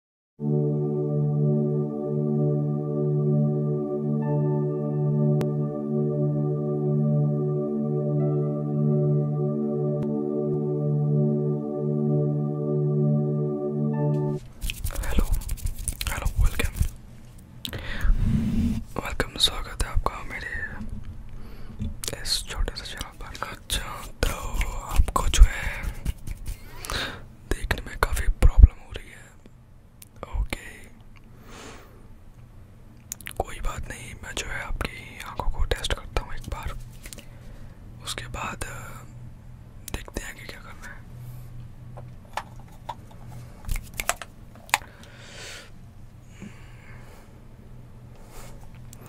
Hello hello welcome welcome स्वागत है आपका मेरे इस छोटे से चैनल पर अच्छा तो आपको जो है देखने में काफ़ी प्रॉब्लम हो रही है ओके कोई बात नहीं मैं जो है आपकी आंखों को टेस्ट करता हूँ एक बार उसके बाद देखते हैं कि क्या करना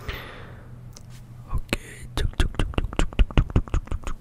है ओके चुक चुक चुक चुक चुक चुक चुक चुक चुक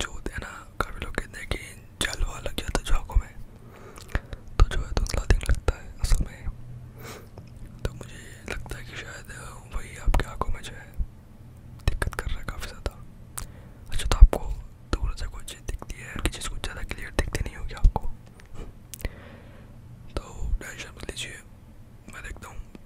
जो है ना काफ़ी लोग कहते हैं कि जलवा लग जाता है झाकों में तो जो है धुंधला तो दिन लगता है असल में तो मुझे लगता है कि शायद वही आपकी आंखों में जो है दिक्कत कर रहा है काफ़ी ज़्यादा अच्छा तो आपको दूर से कोई चीज़ दिखती है कि चीज़ कुछ ज़्यादा क्लियर दिखती नहीं होगी आपको तो टेंशन मत लीजिए मैं देखता हूँ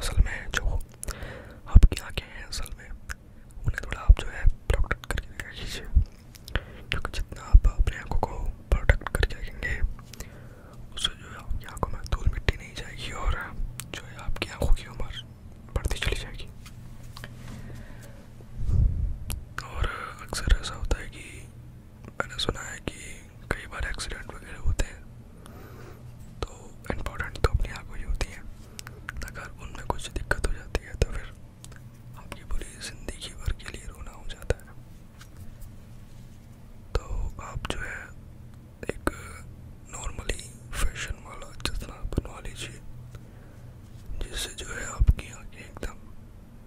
असल में जो आपकी आंखें हैं असल में उन्हें थोड़ा आप जो है प्रोटेक्ट करके रखा कीजिए क्योंकि जितना आप अपने आँखों को प्रोटेक्ट करके रखेंगे उससे जो है आपकी आँखों में धूल मिट्टी नहीं जाएगी और जो है आपकी आँखों की उम्र बढ़ती चली जाएगी और अक्सर ऐसा होता है कि मैंने सुना है कि कई बार एक्सीडेंट वगैरह होते हैं तो इम्पोर्टेंट तो अपनी आँखों ही होती है अगर उनमें कुछ दिक्कत हो जाती है तो फिर आपकी पूरी ज़िंदगी भर के लिए रोना हो जाता है तो आप जो है एक नॉर्मली फैशन वाला चश्मा बनवा लीजिए जिससे जो है आपकी आँखें एकदम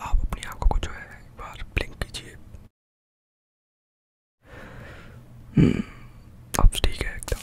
आप अपनी आंखों को जो है एक बार ब्लिंक कीजिए हम्म, अब तो ठीक है एकदम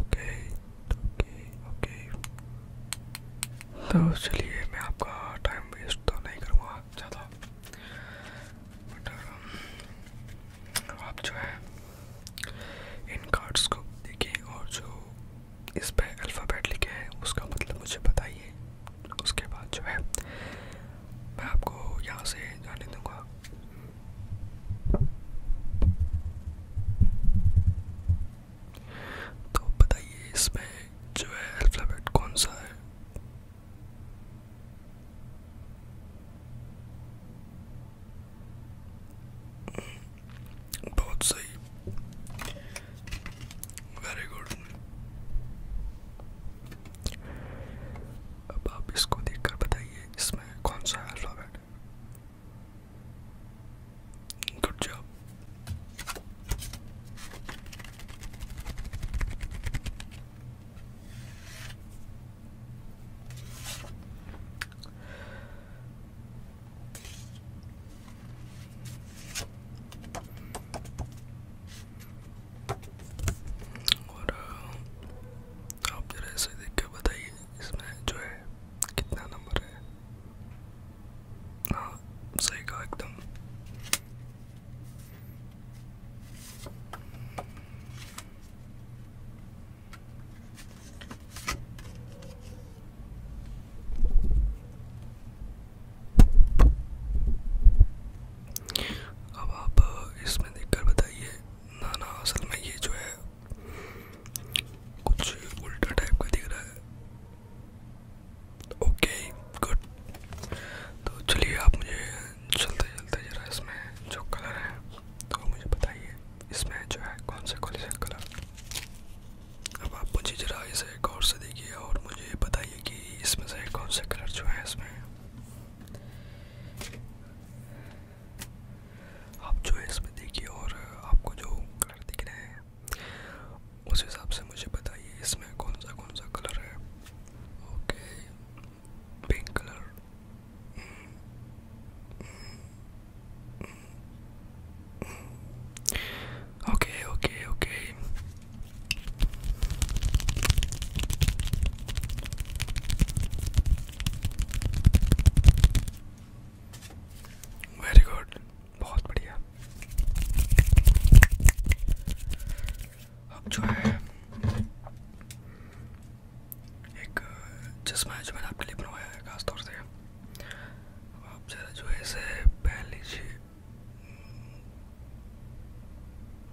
ओके ओके ओके तो चलिए मैं आपका टाइम वेस्ट तो नहीं करूँगा ज़्यादा बट um, आप जो है इन कार्ड्स को देखिए और जो इस पे अल्फ़ाबेट लिखे हैं उसका मतलब मुझे बताइए उसके बाद जो है मैं आपको यहाँ से जाने दूँगा तो बताइए इसमें जो है अल्फ़ाबेट कौन सा है बहुत सही वेरी गुड अब आप इसको देखकर बताइए इसमें कौन सा अल्फ़ाबेट है गुड जॉब और आप जरा इसे देख के बताइए इसमें जो है कितना नंबर है हाँ सही कहा एकदम अब आप इसमें देखकर बताइए ना ना असल में ये जो है कुछ उल्टा टाइप का दिख रहा है ओके गुड तो चलिए आप मुझे चलते चलते जरा इसमें जो कलर है तो मुझे बताइए इसमें जो है कौन से कौन से कलर अब आप मुझे जरा इसे गौर से देखिए और मुझे बताइए कि इसमें से कौन सा कलर जो है इसमें आप जो है इसमें देखिए और आपको जो कलर दिख रहे हैं उस हिसाब से मुझे बताइए इसमें कौन सा कौन सा कलर है okay pink colour okay okay okay very good बहुत बढ़िया अब जो है एक चश्मा है जो मैंने आपके लिए बनवाया है खासतौर से आप ज़रा जो है इसे पहन लीजिए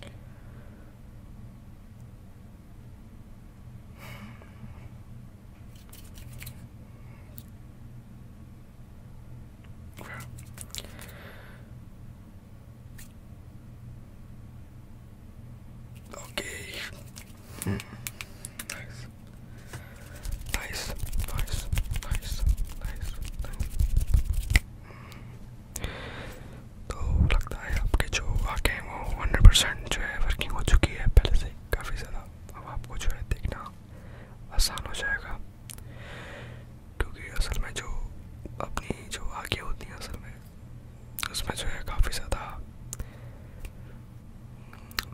Okay. Okay. Hmm. Nice. Nice. Nice. Nice. Nice. तो लगता है आपके जो आँखें हैं वो हंड्रेड परसेंट जो है वर्किंग हो चुकी है पहले से काफ़ी ज़्यादा अब आपको जो है देखना आसान हो जाएगा क्योंकि असल में जो अपनी जो आँखें होती हैं असल में उसमें जो है काफ़ी ज़्यादा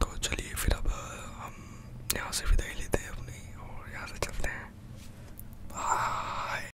तो चलिए फिर अब हम यहाँ से विदाई लेते हैं अपनी और यहाँ से चलते हैं बाय